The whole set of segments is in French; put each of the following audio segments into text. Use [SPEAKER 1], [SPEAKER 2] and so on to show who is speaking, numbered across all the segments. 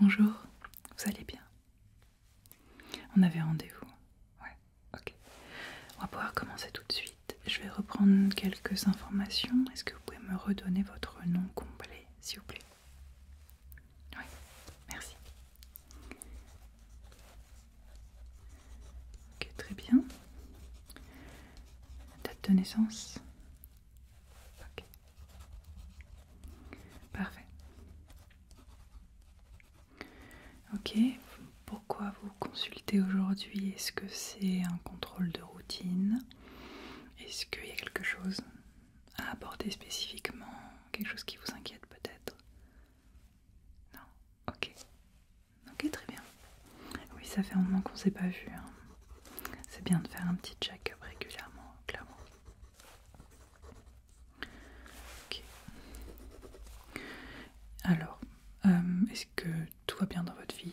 [SPEAKER 1] Bonjour, vous allez bien On avait rendez-vous Ouais, ok. On va pouvoir commencer tout de suite. Je vais reprendre quelques informations. Est-ce que vous pouvez me redonner votre nom complet, s'il vous plaît Oui, merci. Ok, très bien. Date de naissance Ok, Parfait. Ok, pourquoi vous consultez aujourd'hui Est-ce que c'est un contrôle de routine Est-ce qu'il y a quelque chose à apporter spécifiquement Quelque chose qui vous inquiète peut-être Non Ok. Ok, très bien. Oui, ça fait un moment qu'on ne s'est pas vu. Hein. C'est bien de faire un petit check-up régulièrement, clairement. Alors, euh, est-ce que tout va bien dans votre vie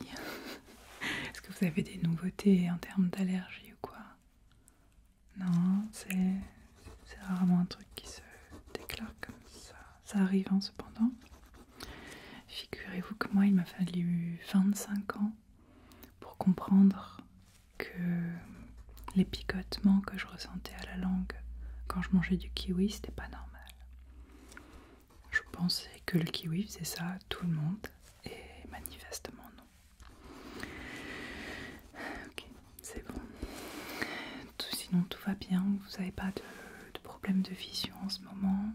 [SPEAKER 1] Est-ce que vous avez des nouveautés en termes d'allergie ou quoi Non, c'est rarement un truc qui se déclare comme ça. Ça arrive hein, cependant. Figurez-vous que moi, il m'a fallu 25 ans pour comprendre que les picotements que je ressentais à la langue quand je mangeais du kiwi, c'était pas normal. Je pensais que le kiwi faisait ça à tout le monde, et manifestement non. Ok, c'est bon. sinon, tout va bien, vous n'avez pas de problème de vision en ce moment.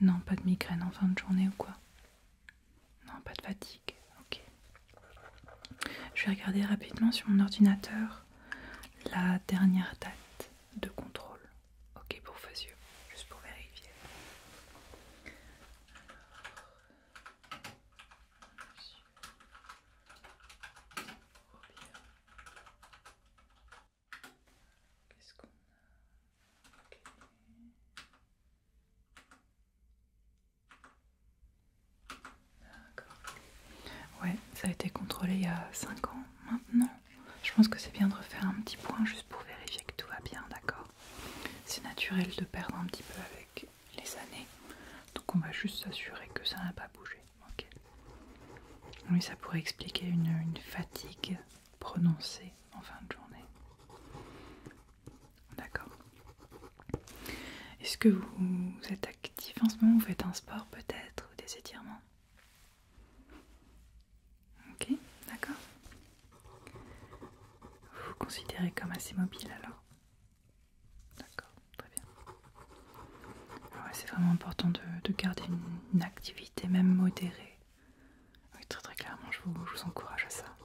[SPEAKER 1] Non, pas de migraine en fin de journée ou quoi non, pas de fatigue. Ok. Je vais regarder rapidement sur mon ordinateur la dernière date de contrôle. Ok pour vos yeux, juste pour vérifier. Qu'est-ce qu'on a Ouais, ça a été contrôlé il y a 5 ans maintenant. Je pense que c'est bien de refaire un petit point juste pour vérifier que tout va bien, d'accord C'est naturel de perdre un petit peu avec les années. Donc on va juste s'assurer que ça n'a pas bougé. Oui, ça pourrait expliquer une fatigue prononcer en fin de journée. D'accord. Est-ce que vous êtes actif en ce moment Vous faites un sport peut-être ou des étirements Ok, d'accord. Vous vous considérez comme assez mobile alors D'accord, très bien. Ah ouais, C'est vraiment important de, garder une activité même modérée oui, très très clairement, je vous, encourage à ça.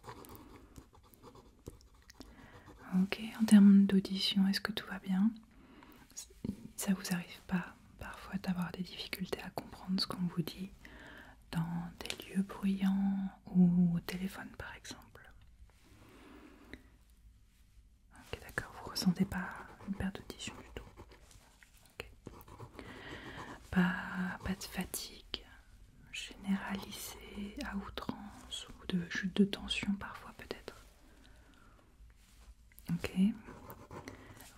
[SPEAKER 1] Ok, en termes d'audition, est-ce que tout va bien Ça vous arrive pas parfois d'avoir des difficultés à comprendre ce qu'on vous dit dans des lieux bruyants ou au téléphone par exemple Ok, d'accord, vous ressentez pas une perte d'audition du tout. Pas, pas de fatigue, généralisé, à outrance ou de chute de tension parfois peut-être. Ok.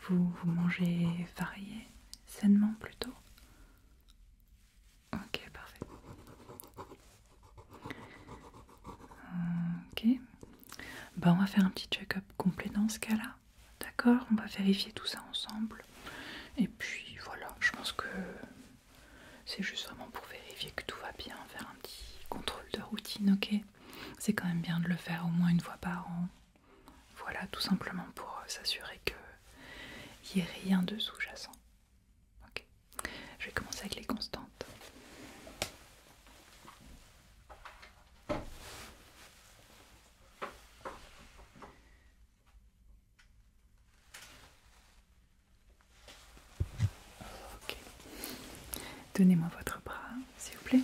[SPEAKER 1] Vous, mangez varié, sainement plutôt. Ok, parfait. Ok. Ben, on va faire un petit check-up complet dans ce cas-là. D'accord On va vérifier tout ça ensemble. Et puis voilà, je pense que c'est juste vraiment pour vérifier que tout va bien, faire un petit contrôle de routine, ok C'est quand même bien de le faire au moins une fois par an. Voilà, tout simplement pour euh, s'assurer qu'il n'y ait rien de sous-jacent. Ok, je vais commencer avec les constantes. Ok. Donnez-moi votre bras, s'il vous plaît.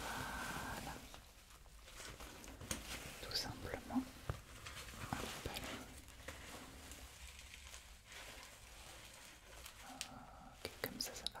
[SPEAKER 1] Voilà. Tout simplement. Ok, comme ça, ça va.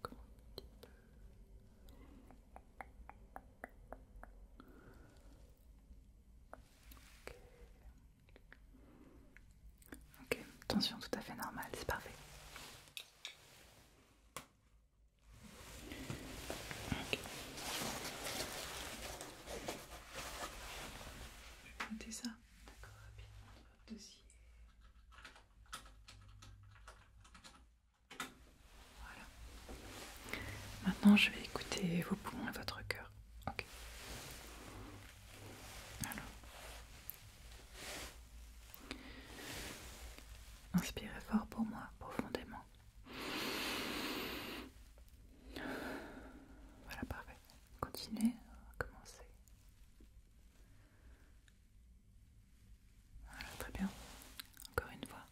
[SPEAKER 1] Encore un petit peu. Ok, tension tout à fait normale, c'est parfait. Je vais ça, d'accord, rapidement dossier. Maintenant, je vais écouter vos poumons et votre cœur. Ok. Inspirez fort pour moi, profondément. Voilà, parfait. Continuez, commencer très bien. Encore une fois.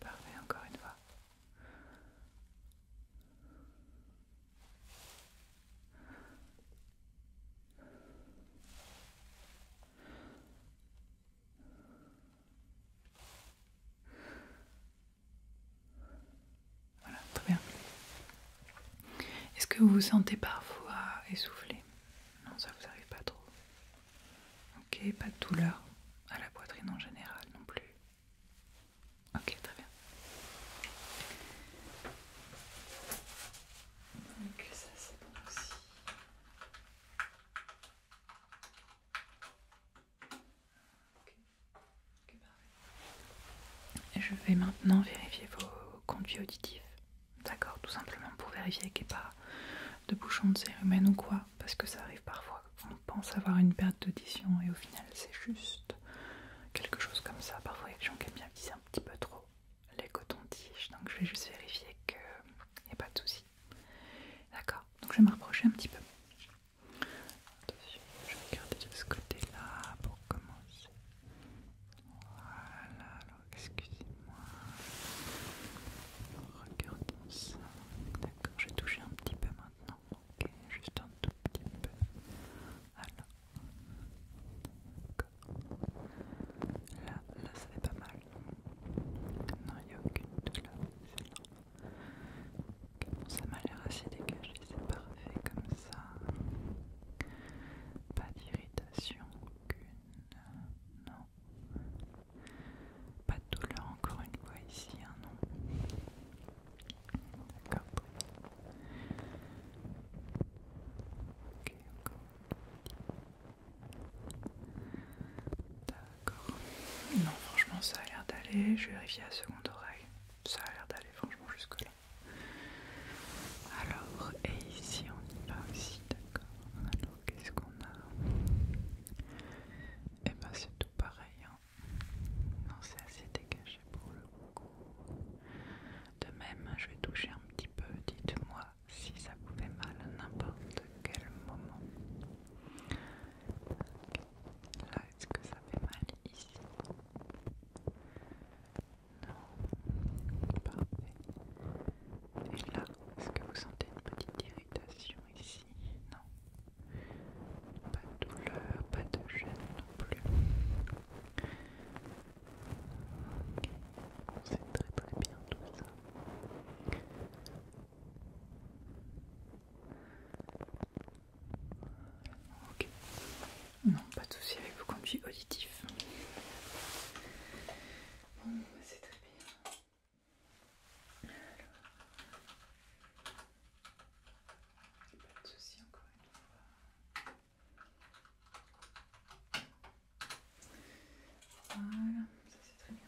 [SPEAKER 1] Parfait, encore une fois. Voilà, très bien. Est-ce que vous vous sentez parfois essoufflé Non, ça vous arrive pas trop. Ok, pas de douleur à la poitrine en général non plus. Ok, très bien. Donc ça c'est bon aussi je vais maintenant vérifier vos conduits auditifs. D'accord, tout simplement pour vérifier qu'il n'y ait pas de bouchon de cérumen ou quoi, parce que ça arrive parfois. On pense avoir une perte d'audition et au final c'est juste quelque chose comme ça. Parfois il y a des gens qui aiment bien utiliser un petit peu trop les cotons-tiges, donc je vais juste vérifier qu'il n'y a pas de souci. D'accord, donc je vais me rapprocher un petit peu je vais regarder de ce côté-là pour commencer. Voilà, alors excusez-moi. Regardons ça. D'accord, j'ai touché un petit peu maintenant. Ok, juste un tout petit peu. Alors, Là, là, ça fait pas mal. Non, il n'y a aucune douleur. C'est normal ça m'a l'air assez dégagé, c'est parfait comme ça. Pas d'irritation aucune, non. Pas de douleur encore une fois ici, hein, non. D'accord. Ok, D'accord. Non, franchement, ça a l'air d'aller. Je vérifie à seconde oreille. Ça a l'air d'aller, franchement, jusque-là. Alors, et ici, on y va aussi, d'accord. Alors, qu'est-ce qu'on a Et eh ben, c'est tout pareil. Hein. Non, c'est assez dégagé pour le coup. De même, je vais toucher un petit peu. Dites-moi si ça pouvait mal à n'importe quel moment. Là, est-ce que ça fait mal ici Non, parfait. Et là, est-ce que vous sentez une petite irritation ici Non. Pas de douleur, pas de gêne non plus. Ok, On sait très très bien tout ça. Ok. Non, pas de souci avec le conduit auditif. Bon, c'est très bien. Alors. Pas de souci encore une fois. Voilà, ça c'est très bien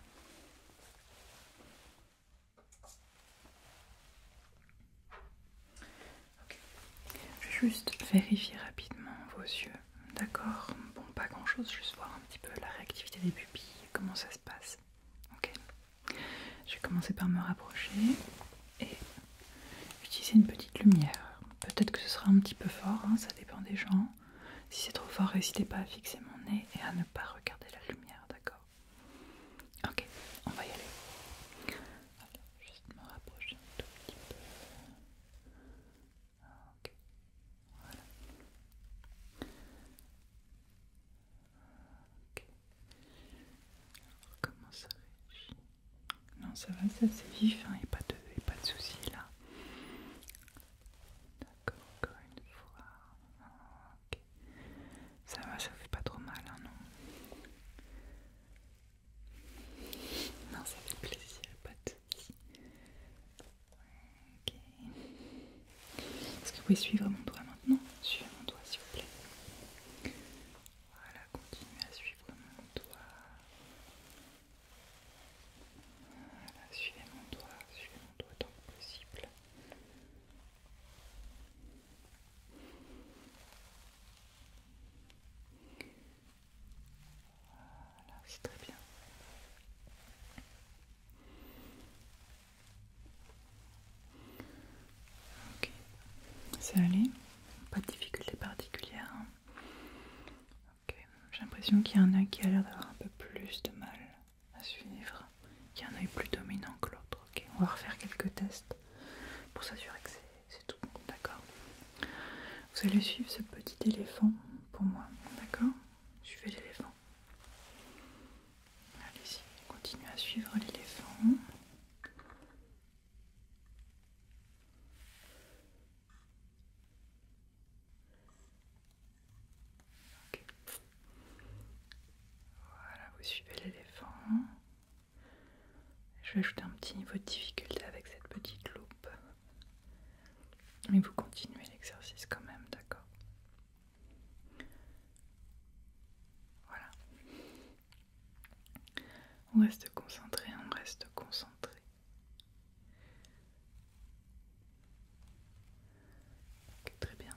[SPEAKER 1] juste vérifier rapidement vos yeux, d'accord Bon, pas grand chose, juste voir un petit peu la réactivité des pupilles, comment ça se passe. Ok Je vais commencer par me rapprocher et utiliser une petite lumière. Peut-être que ce sera un petit peu fort, hein, ça dépend des gens. Si c'est trop fort, n'hésitez pas à fixer mon nez et à ne pas regarder la lumière, d'accord Ok, on va y aller. juste me rapprocher un tout petit peu. Ok, voilà. Ok. Alors, comment ça réagit Non, ça va, c'est assez vif, il hein, n'y pas de, a pas de soucis là. D'accord, encore une fois. Ça va, ça fait pas trop mal, hein, non Non, ça fait plaisir, pas de soucis. Ok. Est-ce que vous pouvez suivre mon doigt maintenant Suivez mon doigt, s'il vous plaît. Voilà, continuez à suivre mon doigt. Voilà, suivez mon doigt, suivez mon doigt tant que possible. Voilà, c'est très bien. Ok, c'est allé, pas de difficulté particulière. Hein. j'ai l'impression qu'il y a un a qui a l'air d'avoir un peu plus de mal à suivre, qu'il y en oeil plus dominant que l'autre. Ok, on va refaire quelques tests pour s'assurer que c'est tout d'accord Vous allez suivre ce petit éléphant pour moi, d'accord Suivez l'éléphant. Allez-y, continue à suivre l'éléphant. Voilà, vous suivez l'éléphant. Je vais ajouter un petit niveau de difficulté avec cette petite loupe. Mais vous continuez l'exercice quand même, d'accord Voilà. On reste concentré, on reste concentré. Ok, très bien.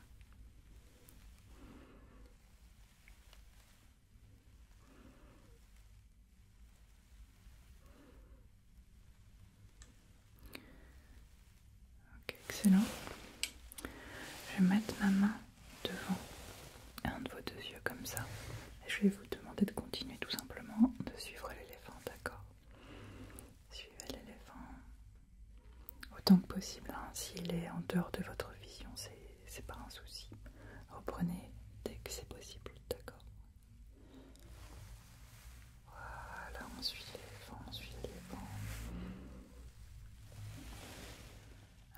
[SPEAKER 1] Ok, excellent. Je vais mettre ma main devant un de vos deux yeux comme ça. Et je vais vous demander de continuer tout simplement de suivre l'éléphant, d'accord Suivez l'éléphant autant que possible. Hein, s'il est en dehors de votre vision, c'est pas un souci. Reprenez dès que c'est possible, d'accord Voilà, on suit les vents, on suit les vents.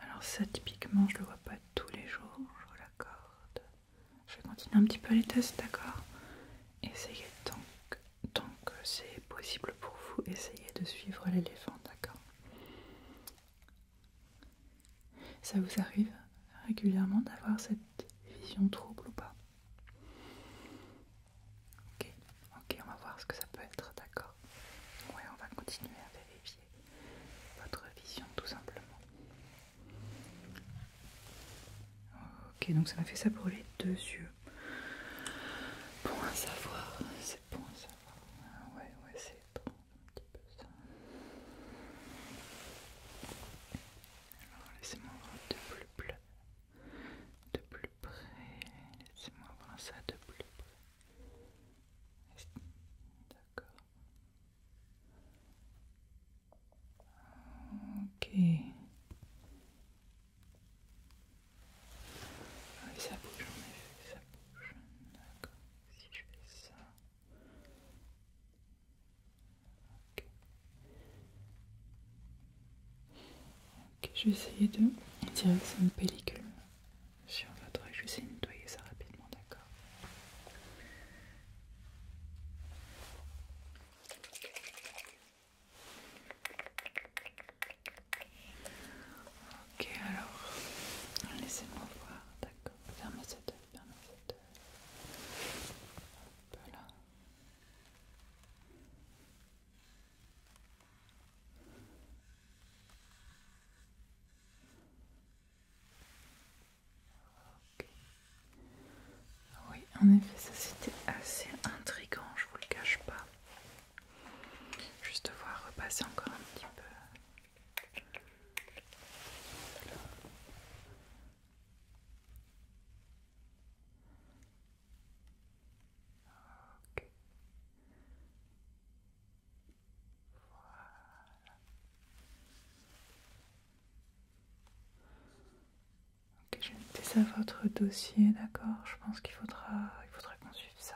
[SPEAKER 1] Alors ça, typiquement, je le vois pas tous les jours, je vous l'accorde. Je vais continuer un petit peu les tests, d'accord Essayez donc donc c'est possible pour vous, essayer de suivre l'éléphant, d'accord Ça vous arrive régulièrement d'avoir cette vision trouble ou pas Ok, ok, on va voir ce que ça peut être, d'accord Ouais, on va continuer à vérifier votre vision tout simplement. Ok, donc ça m'a fait ça pour les deux yeux. Bon à savoir, c'est bon à savoir. Ah ouais, ouais, c'est bon, un petit peu ça. Alors laissez-moi voir de plus près. De plus près. Laissez-moi voir ça de plus près. D'accord. Ok. Ah, ça bouge, en effet, ça bouge. D'accord, si je fais ça. Ok. je vais essayer de. On dirait une pellicule sur votre œil. Je vais essayer de nettoyer ça rapidement, d'accord Ok, alors, laissez-moi voir, d'accord. Fermez cette œil, fermez cette Voilà. Ok. Oui, en effet, ça c'était assez intrigant, je vous le cache pas. Juste voir repasser encore un petit peu. Ok Voilà. Ok, je vais ça votre dossier, d'accord Je pense qu'il faudra, il faudra qu'on suive ça.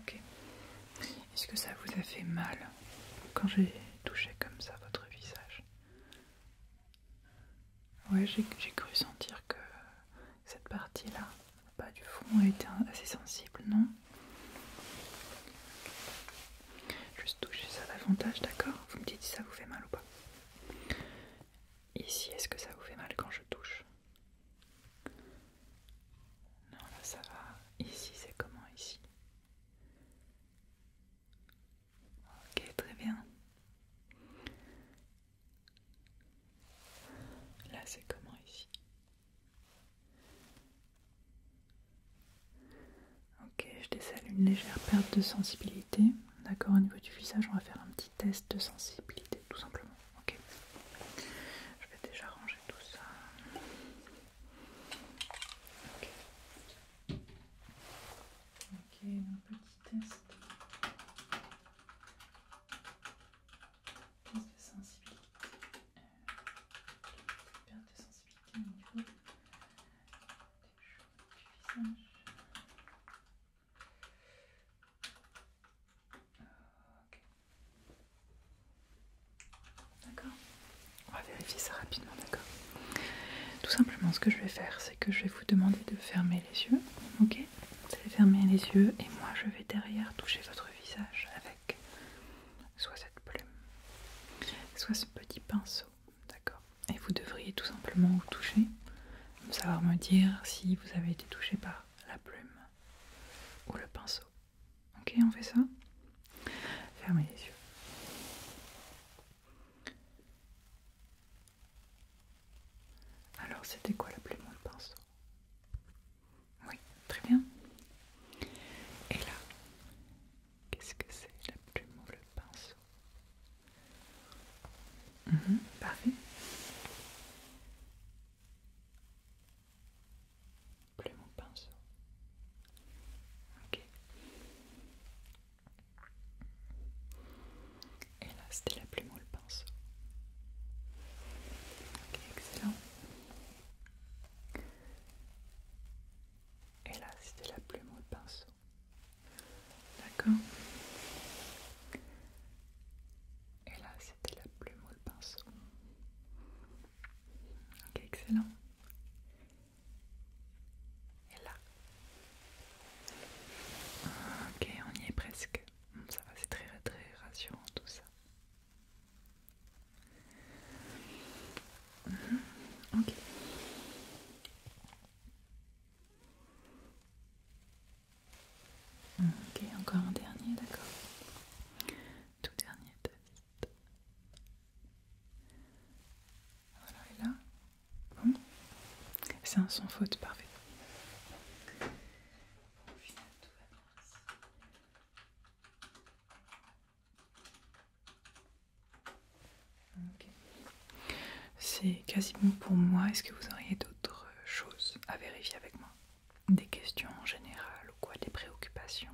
[SPEAKER 1] Ok. Est-ce que ça vous a fait mal quand j'ai touché comme ça votre visage Ouais, j'ai cru sentir que cette partie-là, pas du fond, été assez sensible, non Juste toucher ça davantage, d'accord Vous me dites si ça vous fait mal ou pas. Ici, est-ce que ça vous fait mal quand je touche non, là ça va. Ici, c'est comment ici Ok, très bien. Là, c'est comment ici Ok, je décèle une légère perte de sensibilité. D'accord, au niveau du visage, on va faire un petit test de sensibilité, tout simplement ok je vais déjà ranger tout ça ok un petit test test de sensibilité Bien, euh, perte de sensibilité au niveau des choses du visage euh, d'accord. On va vérifier ça rapidement, d'accord. Tout simplement, ce que je vais faire, c'est que je vais vous demander de fermer les yeux, ok Vous allez fermer les yeux et moi, je vais derrière toucher votre visage avec soit cette plume, soit ce petit pinceau, d'accord Et vous devriez tout simplement vous toucher, savoir me dire si vous avez été touché par la plume ou le pinceau. Ok, on fait ça Fermez les yeux. Alors, c'était quoi la plume ou le pinceau Oui, très bien. Et là, qu'est-ce que c'est la plume ou le pinceau Pareil. Mhm, parfait. Plus mon pinceau. Ok. Et là, c'était la plume ou pinceau. Ok, excellent. Et là, c'était la plume ou pinceau. D'accord et là, c'était la plume ou pinceau. Ok, excellent. Et là. Ok, on y est presque. Ça va, c'est très, très rassurant tout ça. Mhm, ok. Ok, encore un dernier, d'accord. Tout dernier test. Voilà, et là. C'est un son faute, parfait. Au final, tout va bien ici. C'est quasiment pour moi. Est-ce que vous auriez d'autres choses à vérifier avec moi des questions en général ou quoi, des préoccupations.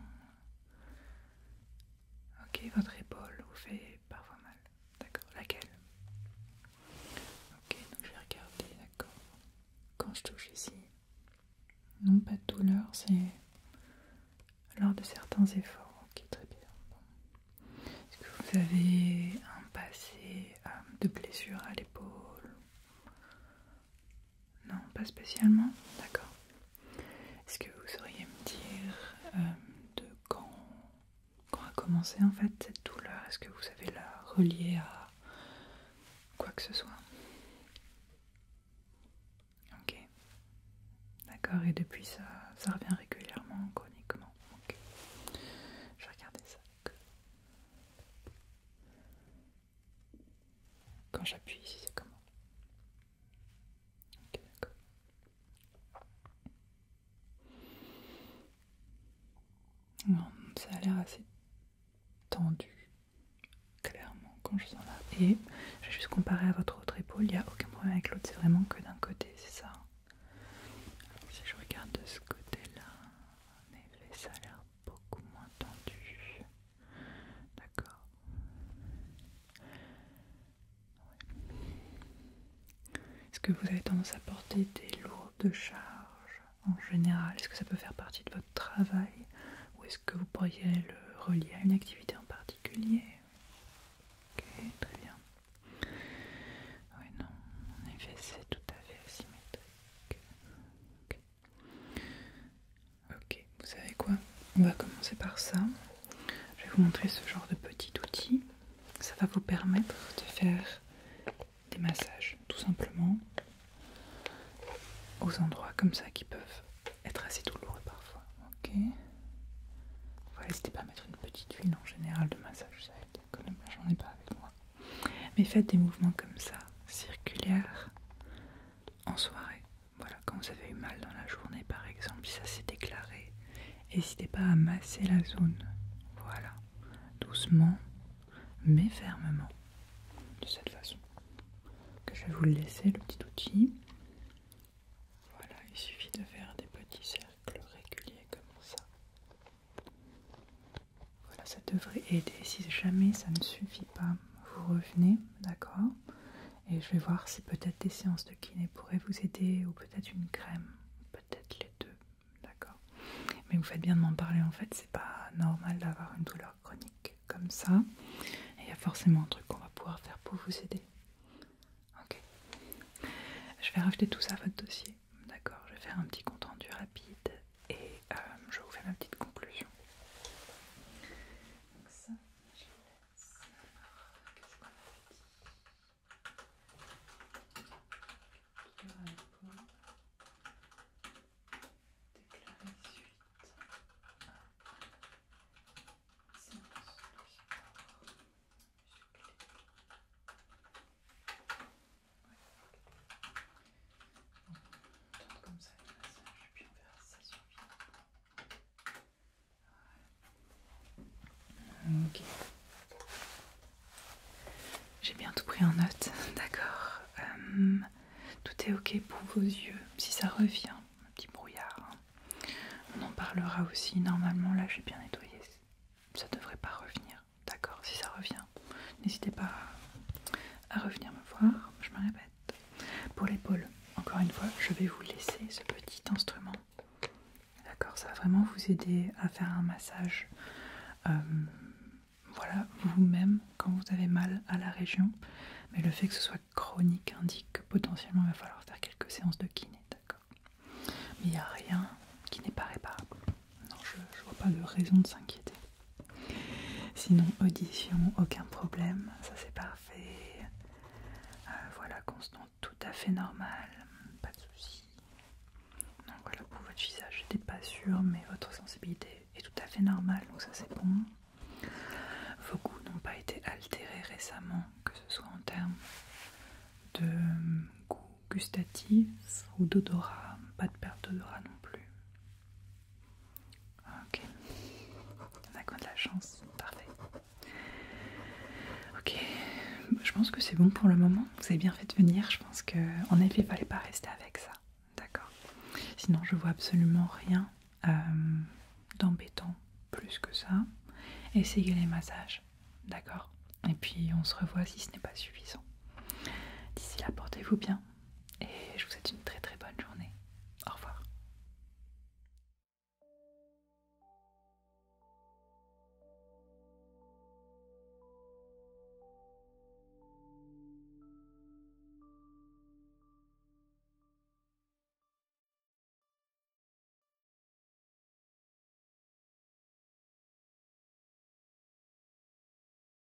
[SPEAKER 1] Ok, votre épaule vous fait parfois mal. D'accord, laquelle Ok, donc je vais regarder, d'accord. Quand je touche ici, non, pas de douleur, c'est lors de certains efforts. Ok, très bien. Est-ce que vous avez un passé euh, de blessure à l'épaule non, pas spécialement. D'accord. Est-ce que vous sauriez me dire euh, de quand, a commencé en fait cette douleur Est-ce que vous savez la relier à quoi que ce soit Ok. D'accord, et depuis ça, ça revient régulièrement, chroniquement. Ok. Je vais regarder ça. Quand j'appuie ici, c'est comment Ok, d'accord. Hum, ça a l'air assez tendu, clairement, quand je sens là. Et vais juste comparer à votre autre épaule, il n'y a aucun problème avec l'autre, c'est vraiment que d'un côté, c'est ça. si je regarde de ce côté-là, ça a l'air beaucoup moins tendu. D'accord. Est-ce que vous avez tendance à porter des lourdes charges en général Est-ce que ça peut faire partie de votre travail Ou est-ce que vous pourriez le relier à une activité en particulier Ok, très bien. Oui, non, en effet, c'est tout à fait asymétrique. Ok, vous savez quoi On va commencer par ça. Je vais vous montrer ce genre de petit outil. Ça va vous permettre de faire des massages, tout simplement, aux endroits comme ça qui peuvent être assez douloureux parfois. Ok N'hésitez pas à mettre une petite huile en général de massage, ça Là J'en ai pas avec moi. Mais faites des mouvements comme ça, circulaires, en soirée. Voilà, quand vous avez eu mal dans la journée par exemple, ça s'est déclaré. N'hésitez pas à masser la zone. Voilà, doucement, mais fermement. De cette façon. Que je vais vous laisser le petit outil. Voilà, il suffit de faire des petits cercles réguliers comme ça. Voilà, ça devrait aider. Si jamais ça ne suffit pas, vous revenez, d'accord Et je vais voir si peut-être des séances de kiné pourraient vous aider ou peut-être une crème, peut-être les deux, d'accord Mais vous faites bien de m'en parler en fait, c'est pas normal d'avoir une douleur chronique comme ça. Et il y a forcément un truc qu'on va pouvoir faire pour vous aider. Ok. Je vais rajouter tout ça à votre dossier. D'accord, je vais faire un petit compte rendu rapide et euh, je vous fais ma petite conclusion. Donc ça, je laisse. Qu'est-ce qu'on a dit Déclarer suite. Séance de sport. Musclé. Ok. J'ai bien tout pris en note, d'accord. Hum, tout est ok pour vos yeux, si ça revient, un petit brouillard. Hein. On en parlera aussi, normalement là j'ai bien nettoyé, ça devrait pas revenir, d'accord, si ça revient. N'hésitez pas à à revenir me voir, je me répète. Pour l'épaule, encore une fois, je vais vous laisser ce petit instrument. D'accord, ça va vraiment vous aider à faire un massage. Euh, voilà, vous-même, quand vous avez mal à la région. Mais le fait que ce soit chronique indique que potentiellement il va falloir faire quelques séances de kiné, d'accord Mais il n'y a rien qui n'est pas réparable non, je, vois pas de raison de s'inquiéter. Sinon, audition, aucun problème, ça c'est parfait. Euh, voilà, constant, tout à fait normal, pas de soucis. Donc voilà, pour votre visage, n'étais pas sûre, mais votre sensibilité est tout à fait normale, donc ça c'est bon. Vos goûts n'ont pas été altérés récemment, que ce soit en termes de goût gustatif ou d'odorat, pas de perte d'odorat non plus. Ah, ok, on a quoi de la chance, parfait. Ok, je pense que c'est bon pour le moment. Vous avez bien fait de venir, je pense que effet, il fallait pas rester avec ça, d'accord. Sinon, je vois absolument rien euh, d'embêtant plus que ça. Essayez les massages, d'accord. Et puis on se revoit si ce n'est pas suffisant. D'ici là, portez-vous bien et je vous souhaite une très très bonne journée. Au revoir.